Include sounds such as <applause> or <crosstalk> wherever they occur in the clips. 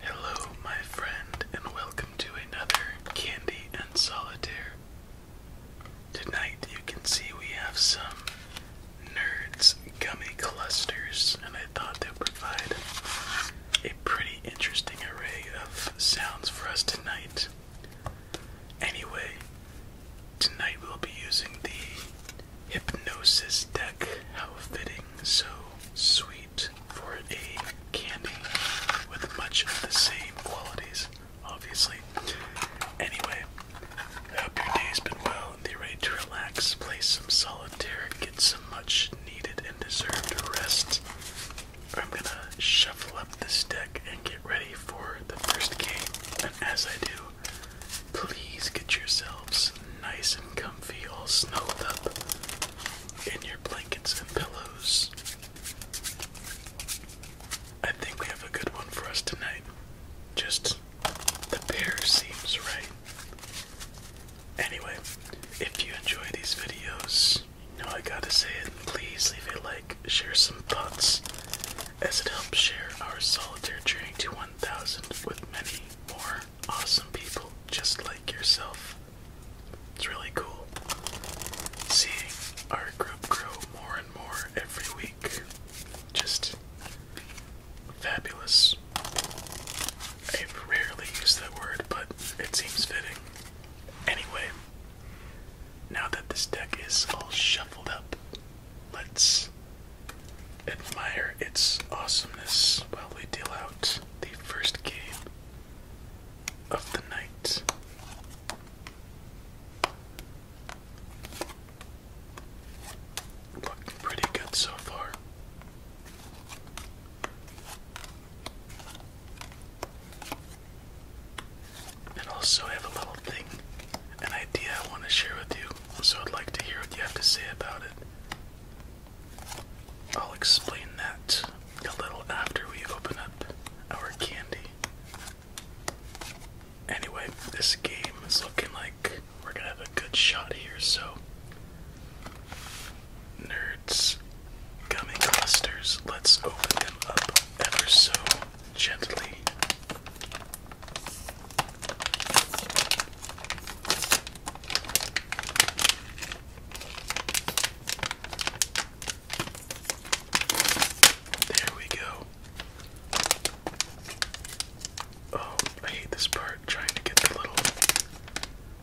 Hello, my friend, and welcome to another Candy and Solitaire. Tonight, you can see we have some Nerds Gummy Clusters, and I thought they'd provide a pretty interesting array of sounds for us tonight. Anyway, tonight we'll be using the Hypnosis deck. How fitting, so sweet for a candy with much of the same qualities, obviously. Anyway, I hope your day's been well and you're ready to relax, play some solitaire, get some much needed and deserved rest. I'm gonna shuffle up this deck and get ready for the first game, and as I do, Please get yourselves nice and comfy, all snuggled up in your blankets and pillows. I think we have a good one for us tonight. Just the pair seems right. Anyway, if you enjoy these videos, you know I gotta say it, please leave a like, share some thoughts, as it helps share our solitaire journey to 1 1000 with many more awesome people just like yourself. It's really cool seeing our group grow more and more every week. Just fabulous. I rarely use that word, but it seems fitting. Anyway, now that this deck is all shuffled up, let's admire its awesomeness while we deal out the first game of the night. Looking pretty good so far. And also, I have a little thing, an idea I want to share with you so I'd like to hear what you have to say about it. I'll explain that a little after we open up our candy. Anyway, this game is looking like we're gonna have a good shot here, so. Nerds, gummy clusters, let's open them up ever so gently. There we go. Oh, I hate this part trying to get the little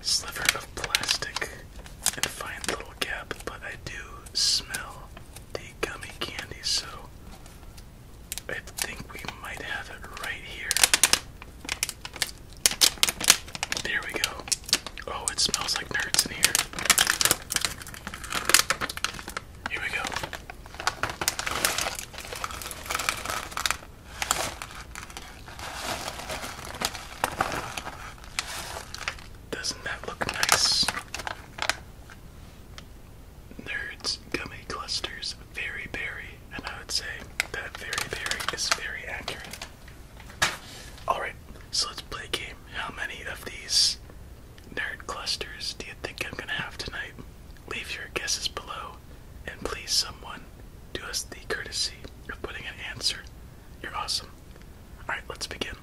sliver of plastic and find the little gap, but I do smell the gummy candy, so I think we might have it right here. There we go. Oh, it smells like nerds in here. Here we go. Doesn't that look nice? nerds, gummy clusters, very berry, and I would say that very berry is very accurate. Alright, so let's play a game. How many of these nerd clusters do you think I'm gonna have tonight? Leave your guesses below, and please, someone, do us the courtesy of putting an answer. You're awesome. Alright, let's begin.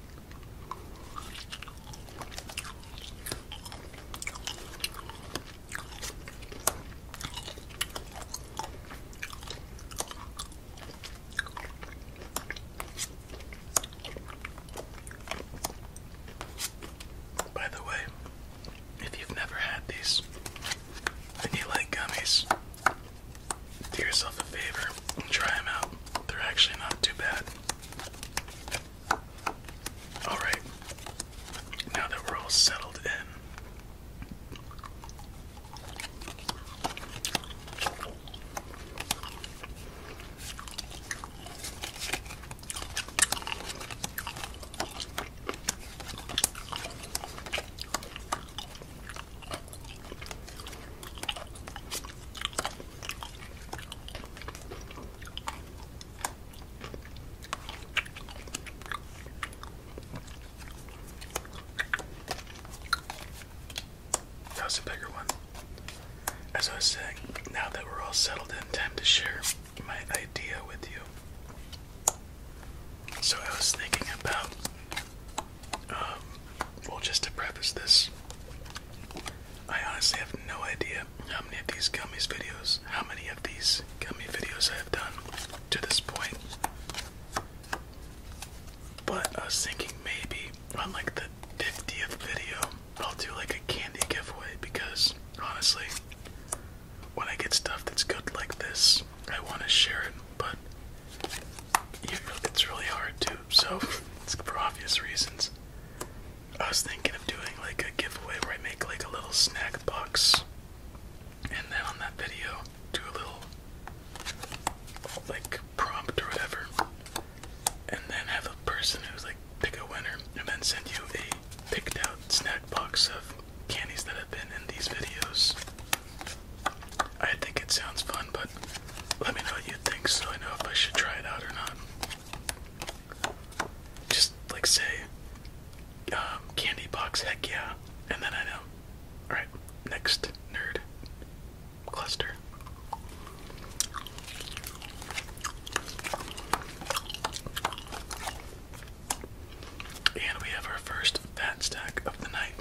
By the way, if you've never had these and you like gummies, do yourself a favor and try them out. They're actually not too bad. Alright, now that we're all settled in, that was a bigger one. As I was saying, now that we're all settled in, time to share my idea with you. So I was thinking about, um, well, just to preface this, I honestly have no idea how many of these gummies videos, how many of these gummy videos I have done to this point. But I was thinking maybe on like the 50th video, I'll do like a candy giveaway because honestly, when I get stuff that's good like this, I want to share it, but you know, it's really hard too. so for obvious reasons. I was thinking of doing like a giveaway where I make like a little snack box and then on that video do a little like prompt or whatever and then have a person who's like pick a winner and then send you a picked out snack box of candies that have been in these videos. I think it sounds fun, but let me know what you think so I know if I should try it out or not. Just like say, um, candy box, heck yeah, and then I know. Alright, next nerd cluster. And we have our first fat stack of the night.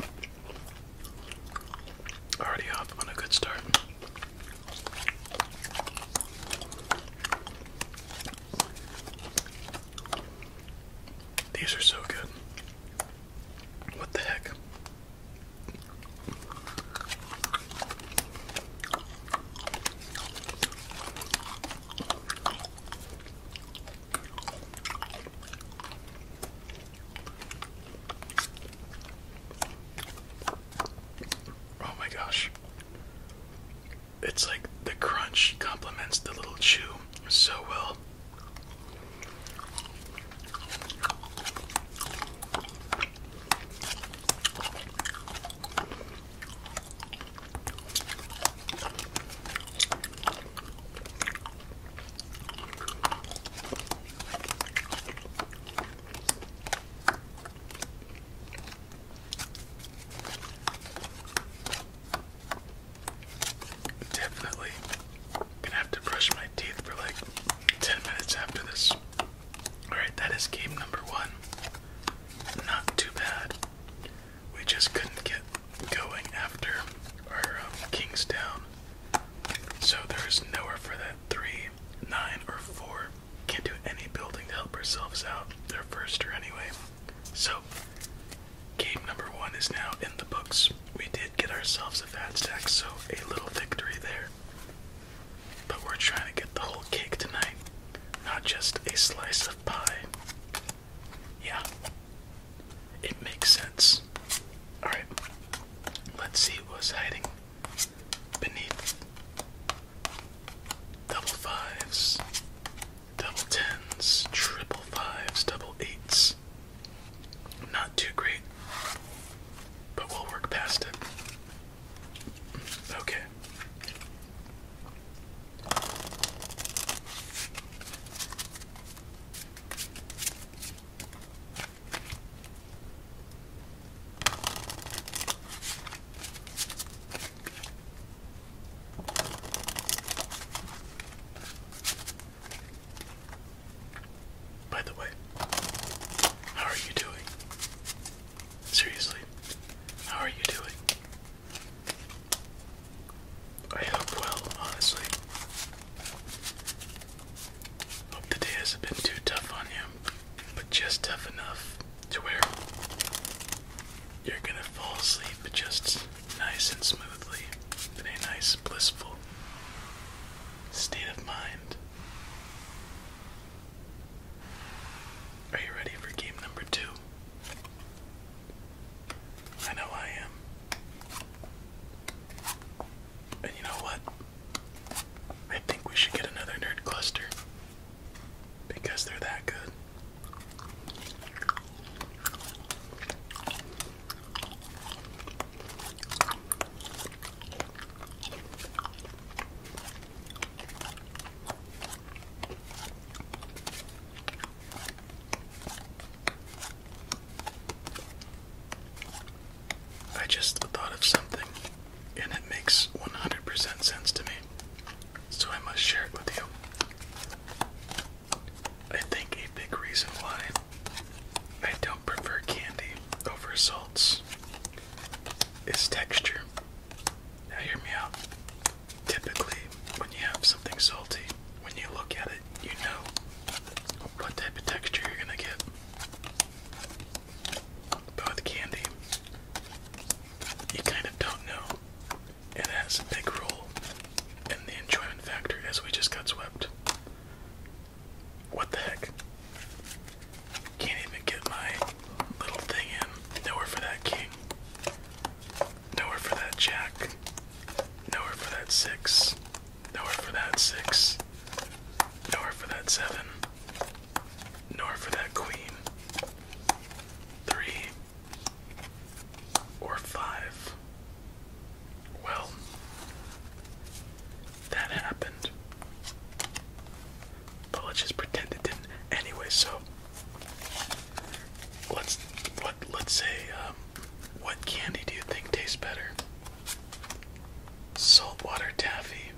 Already off on a good start. These are so good. What the heck? Oh, my gosh. It's like the crunch complements the little chew so well. Definitely gonna have to brush my teeth for like 10 minutes after this. Alright, that is game number one. Not too bad. We just couldn't get going after our um, king's down. So there is nowhere for that 3, 9, or 4 can't do any building to help ourselves out. They're first, or anyway. So, game number one is now in the books. We did get ourselves a fat stack, so a little victory there. But we're trying to get the whole cake tonight, not just a slice of pie. Yeah, it makes sense. Alright, let's see what's hiding beneath double fives, double tens, triple fives, double eights. Not too great, but we'll work past it. Okay. By the way, how are you doing? Seriously, how are you doing? I hope well, honestly. Hope the day hasn't been too tough on you, but just tough enough to where you're gonna fall asleep just nice and smoothly in a nice, blissful state of mind. Are you ready for game number two? I know I am. And you know what? I think we should get another nerd cluster because they're that good. I just thought of something and it makes 100% sense to me, so I must share it with you. I think a big reason why I don't prefer candy over salts is texture. Now, hear me out. Typically, when you have something salty, when you look at it, you know what type of texture you're gonna get. But candy, you kind of don't know. It has a big role in the enjoyment factor as we just got swept. What the heck? Can't even get my little thing in. Nowhere for that king. Nowhere for that jack. Nowhere for that six. Nowhere for that six. Nowhere for that seven nor for that queen. Three or five. Well, that happened. But let's just pretend it didn't. Anyway, so let's what let's say um, what candy do you think tastes better? Saltwater taffy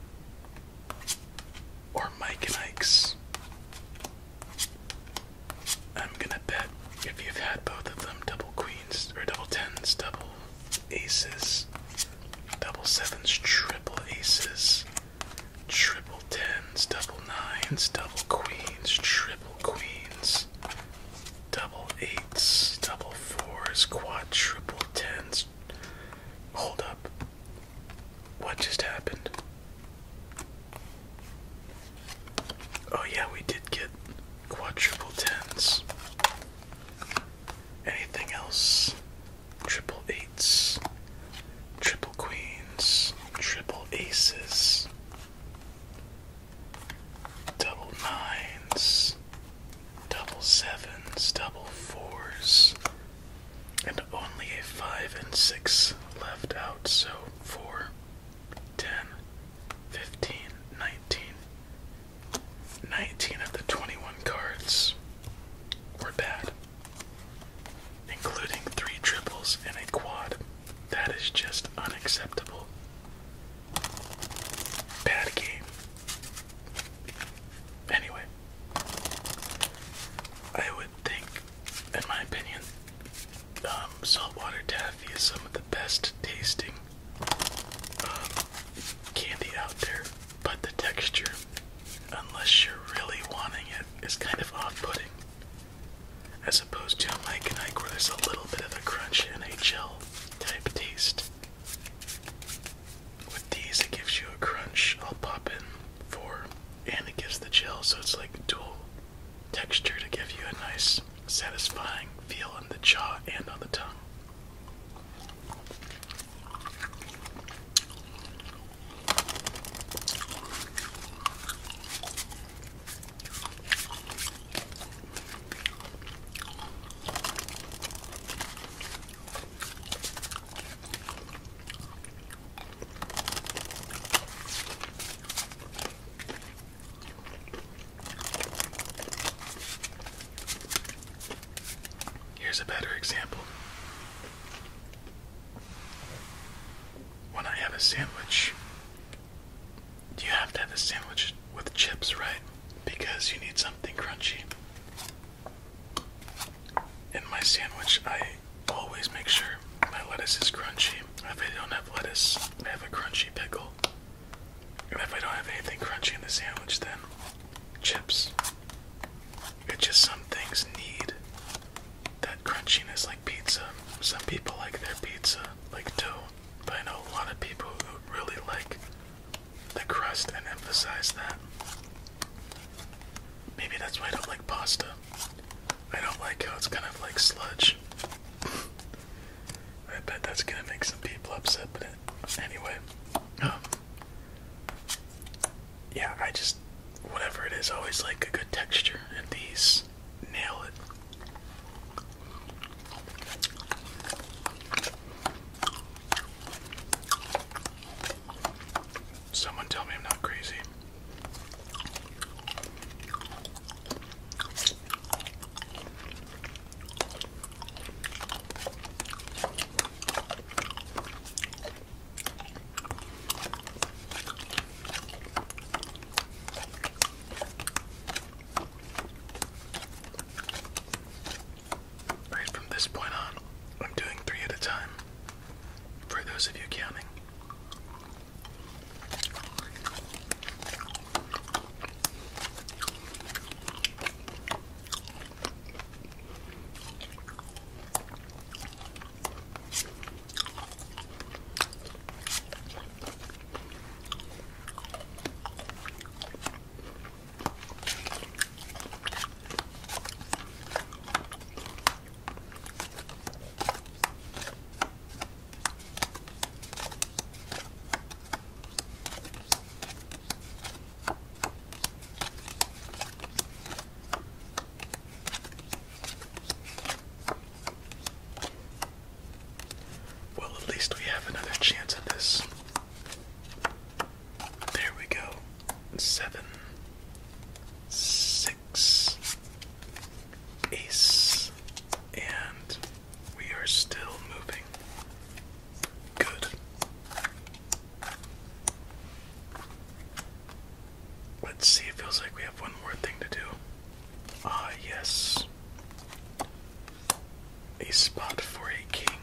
or Mike and Ike's? I'm gonna bet if you've had both of them, double queens, or double tens, double aces, double sevens, triple aces, triple tens, double nines, double queens, triple queens, double eights, double fours, quad triple tens, hold up. What just happened? Oh, yeah, we did get quadruple tens. Anything else? Triple eights, triple queens, triple aces, double nines, double sevens, double fours, and only a 5 and 6 left out, so 4, 10, 15, 19. 19 of the 21 cards were bad, including 3 triples and a quad. That is just unacceptable. Bad game. Anyway, I would think, in my opinion, um, saltwater taffy is some of the best tasting um, candy out there, but the texture, unless you're really wanting it, is kind of off putting. As opposed to Mike and I where there's a little bit of a crunch and a gel type taste with these, it gives you a crunch. I'll pop in four, and it gives the gel, so it's like dual texture to give you a nice, satisfying feel on the jaw and on the tongue. Here's a better example. When I have a sandwich, you have to have a sandwich with chips, right? Because you need something crunchy. In my sandwich, I always make sure my lettuce is crunchy. If I don't have lettuce, I have a crunchy pickle. And if I don't have anything crunchy in the sandwich, then chips. It's just some things need that crunchiness, like pizza. Some people like their pizza like dough, but I know a lot of people who really like the crust and emphasize that. Maybe that's why I don't like pasta. I don't like how it's kind of like sludge. I bet that's gonna make some people upset, but anyway. Um, yeah, I just, whatever it is, always like a good texture, and these nail it. Someone tell me I'm not crazy. Right from this point on, I'm doing three at a time for those of you counting. Well, at least we have another chance at this. There we go. Seven, six, ace, and we are still moving. Good. Let's see, it feels like we have one more thing to do. Ah, yes. A spot for a king.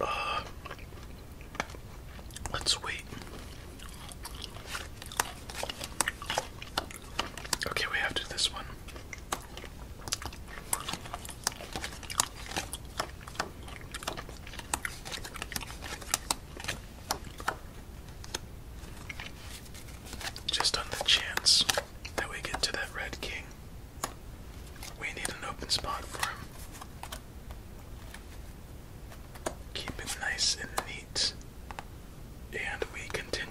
Uh, let's wait. Okay, we have to this one. Just on the chance that we get to that Red King, we need an open spot for him. Keep it nice and neat, and we continue.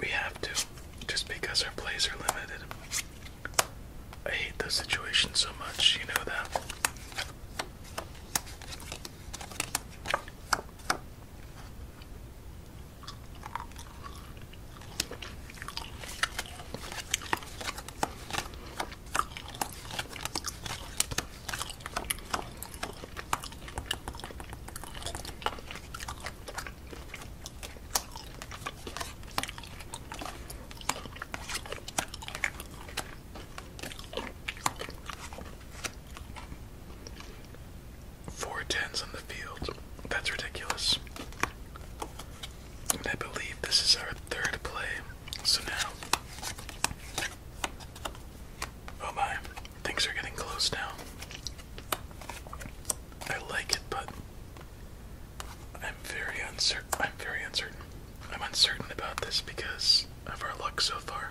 We have to, just because our plays are limited. I hate those situations so much, you know that. Four tens on the field. That's ridiculous. I believe this is our third play. So now. Oh my. Things are getting close now. I like it, but I'm very uncertain. I'm very uncertain. I'm uncertain about this because of our luck so far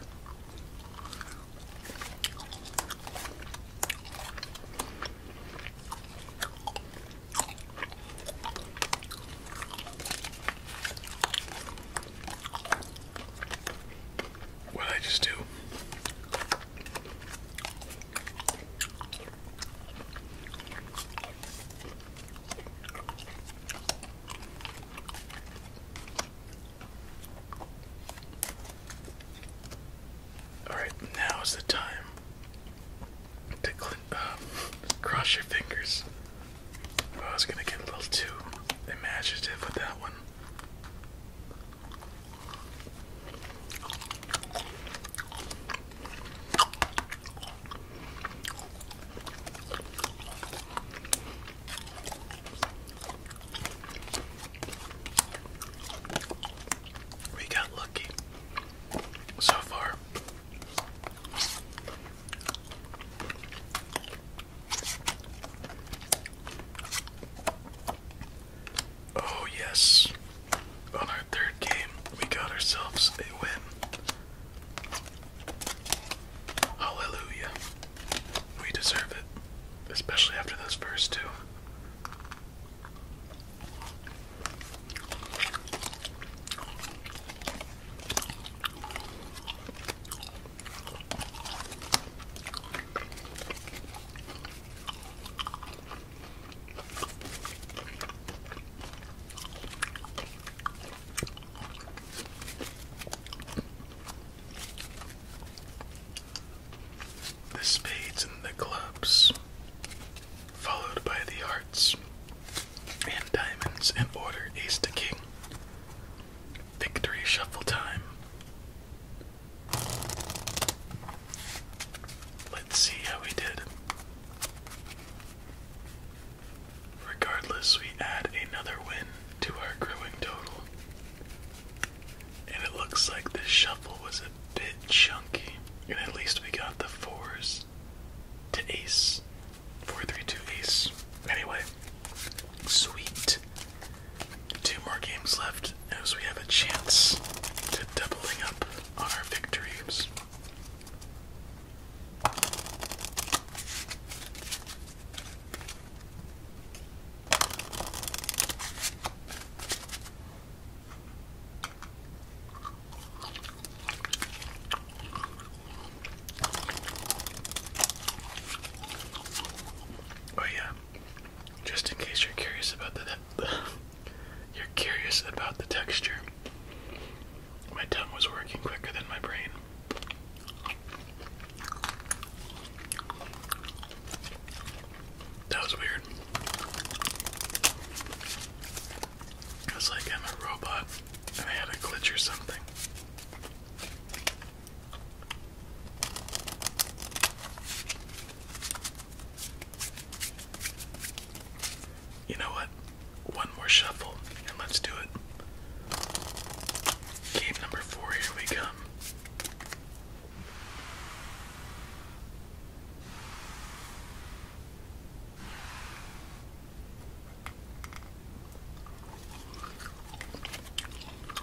what I just do. All right, now is the time to um, cross your fingers. I was gonna get a little too imaginative with that one. We got lucky so far. Oh, yes. On our third game, we got ourselves a win. Hallelujah. We deserve it, especially after those first two. The spades and the clubs, followed by the hearts and diamonds in order ace to king. Victory shuffle time. Let's see how we did. Regardless, we add another win to our growing total. And it looks like this shuffle was a bit chunky, and at least we got the fours to ace. 432 ace. Anyway, sweet. Two more games left as we have a chance to doubling up on our victories. Oh yeah. Just in case you're curious about the <laughs> you're curious about the texture. My tongue was working quicker than my brain. That was weird. It's like I'm a robot and I had a glitch or something. You know what? One more shuffle and let's do it. Game number four, here we come.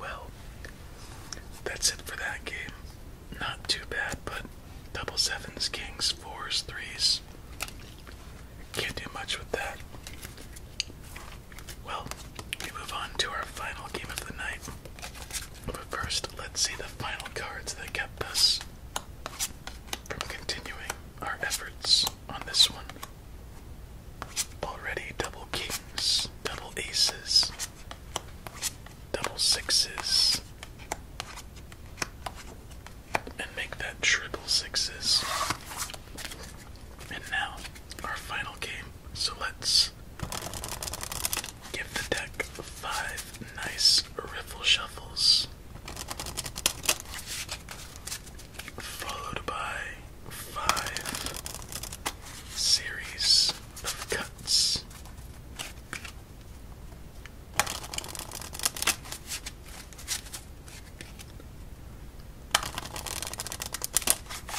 Well, that's it for that game. Not too bad, but double sevens, kings, fours, threes. Can't do much with that. Well, we move on to our final game of the night. But first, let's see the final cards that kept us from continuing our efforts on this one. Already double kings, double aces, double sixes, and make that triple sixes. And now, our final game so let's give the deck five nice riffle shuffles, followed by five series of cuts.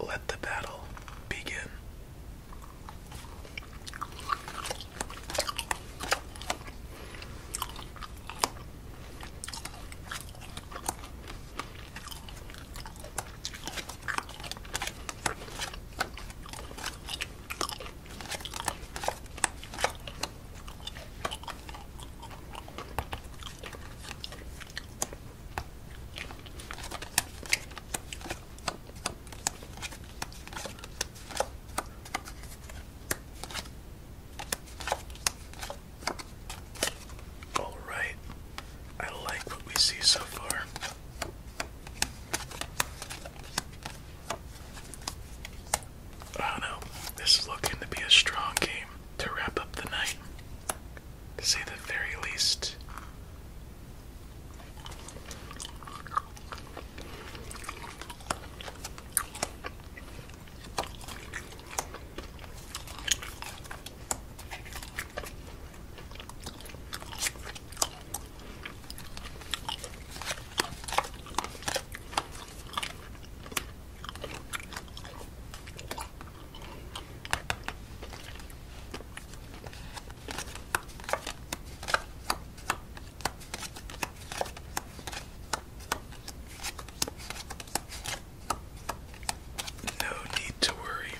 Let the battle begin. All right, I like what we see so far. I don't know. This is looking to be a strong game to wrap up the night, to say the very least. No need to worry.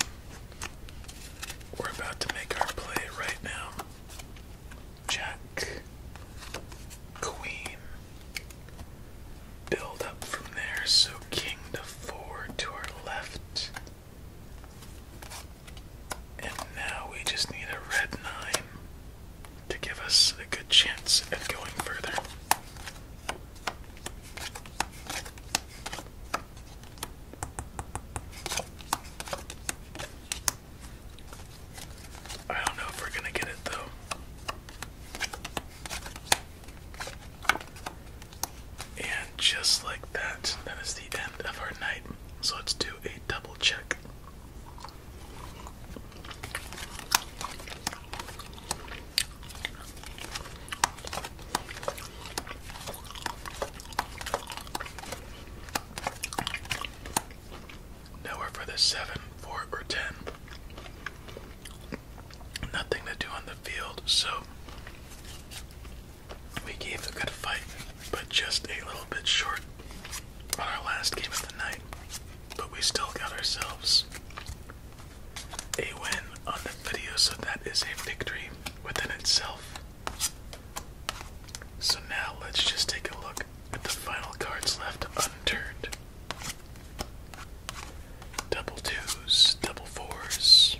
We're about to make our play right now. Jack, Queen. Build up from there, so King to four to our left. And now we just need a red nine to give us a good chance at going further. I don't know if we're gonna get it though. And just like that, that is the end of our night. So let's do a double check. Now we're for the seven, four, or ten. Nothing to do on the field, so we gave a good fight, but just a little bit short on our last game of the night. But we still got ourselves a win on the video, so that is a victory within itself. So now let's just take a look the final cards left unturned. Double twos, double fours,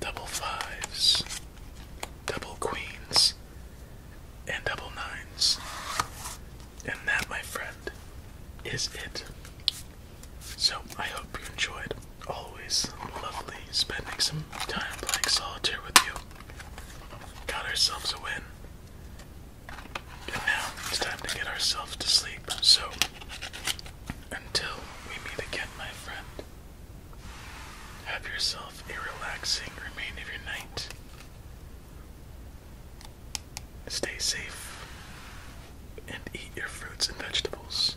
double fives, double queens, and double nines. And that, my friend, is it. So I hope you enjoyed. Always lovely spending some time playing solitaire with you. Got ourselves a win. And now it's time to get ourselves to sleep. So, until we meet again, my friend, have yourself a relaxing remain of your night. Stay safe and eat your fruits and vegetables.